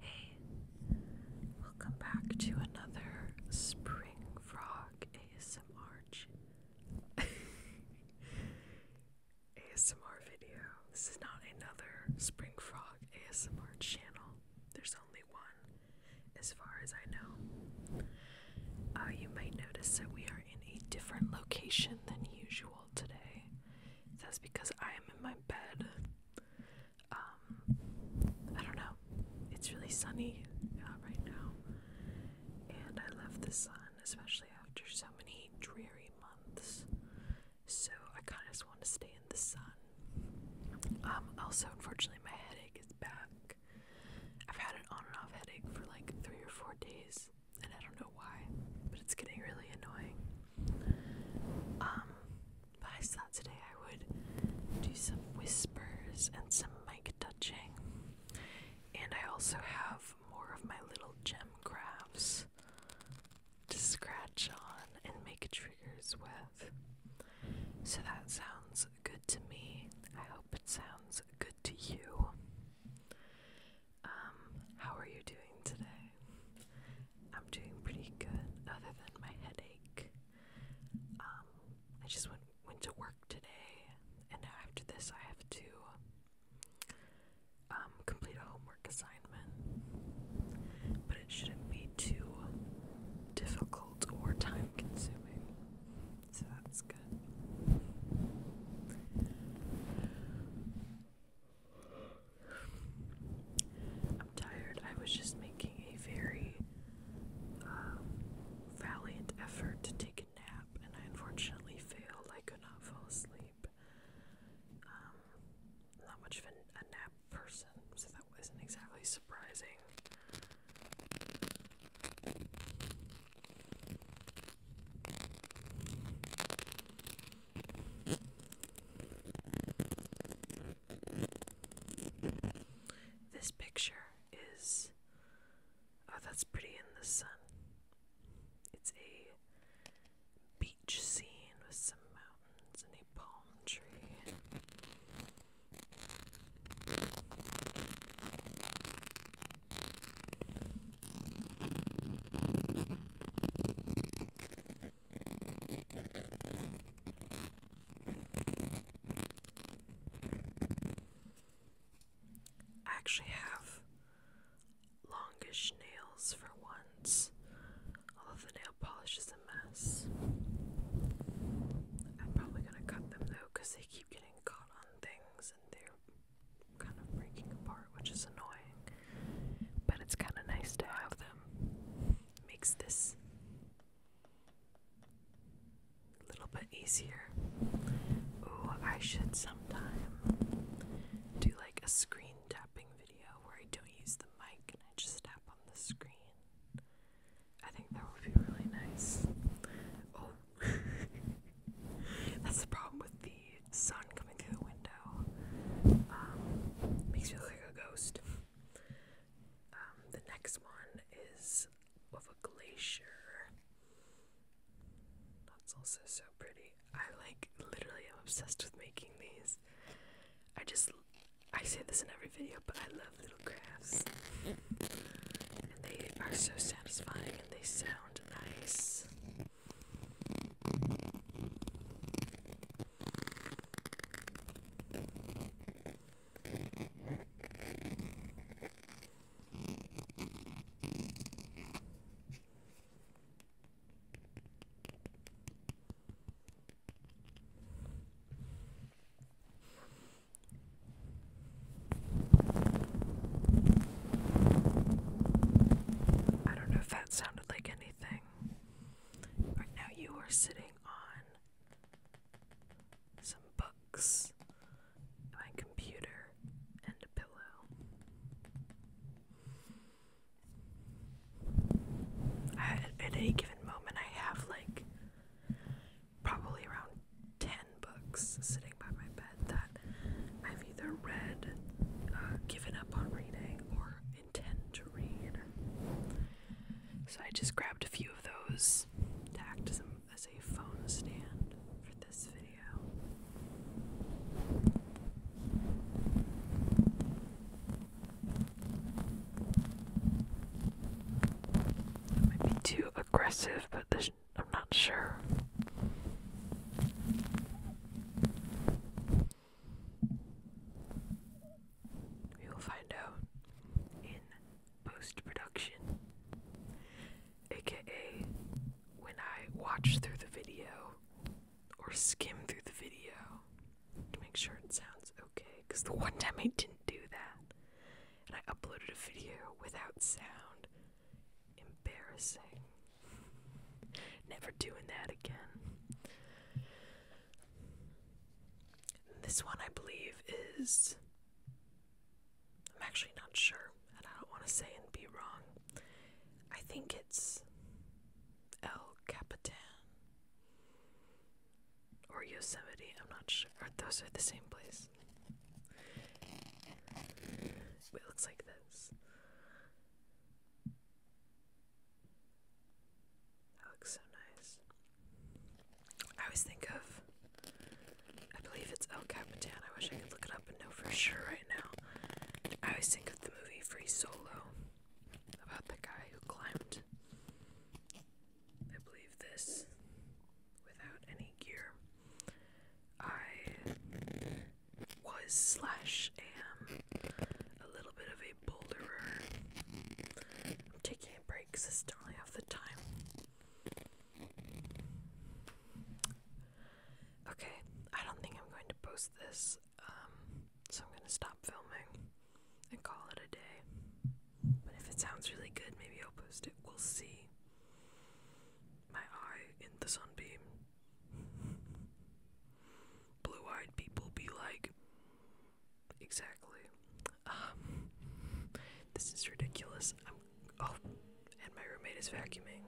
Hey, welcome back to another Spring Frog ASMR video. This is not another Spring Frog ASMR channel. There's only one, as far as I know. Uh, you might notice that we are in a different location than usual today. That's because I am in my bed. Um, I don't know. It's really sunny uh, right now, and I love the sun, especially after so many dreary months. So I kind of just want to stay in the sun. Um, also, unfortunately, my headache is back. I've had an on and off headache for like three or four days, and I don't know why, but it's getting really annoying. Um, but I thought today I would do some whispers and some mic touching, and I also have more of my little gem crafts to scratch on and make triggers with. So that sounds good to me. I hope it sounds good to you. Um, how are you doing today? I'm doing pretty good, other than my headache. Um, I just went went to work today, and after this, I have to um complete a homework assignment. But it shouldn't be too difficult or time consuming so that's good. I'm tired. I was just making a very um, valiant effort to take a nap, and I unfortunately failed. I could not fall asleep. Um, not much of a nap person, so that wasn't exactly surprising. This picture is oh, that's pretty in the sun. It's a beach scene with some mountains and a palm tree. I actually have longish nails for once, All of the nail polish is a mess. I'm probably gonna cut them though they keep getting caught on things and they're kind of breaking apart, which is annoying. But it's kind of nice to have them. Makes this a little bit easier. Ooh, I should sometime do like a screen tapping video where I don't use the mic and I just tap on the screen. I think that would be really nice. Oh, that's the problem with the sun coming through the window. Um, makes me look like a ghost. Um, the next one is of a glacier. That's also so pretty. I like literally am obsessed with making these. I just I say this in every video, but I love little crafts. And they are so satisfying and they sound nice. I don't know if that sounded like anything. Right now, you are sitting on some books, my computer, and a pillow. I, at any given moment, I have like probably around 10 books sitting by my bed that I've either read, uh, given up on reading, or intend to read. So I just grabbed a few of those to act as as a phone stand for this video. It might be too aggressive, but I'm not sure. We will find out in post production, aka when I watch through the video or skim through the video to make sure it sounds okay. Because the one time I didn't do that and I uploaded a video without sound, embarrassing. Never doing that again. This one, I believe, is. I'm actually not sure, and I don't want to say and be wrong. I think it's El Capitan or Yosemite, I'm not sure. Or those are the same place. It looks like this. That looks so nice. I always think of, I believe it's El Capitan. I wish I could look it up and know for sure right now. I always think of the movie Free Solo about the guy who climbed, I believe, this without any gear. I was slash am a little bit of a boulderer. I'm taking a break because I don't the time. Okay, I don't think I'm going to post this, um, so I'm going to stop filming and call it a day. But if it sounds really good, maybe I'll post it. We'll see. My eye in the sunbeam. Blue eyed people be like, exactly. Um, this is ridiculous. oh, and my roommate is vacuuming.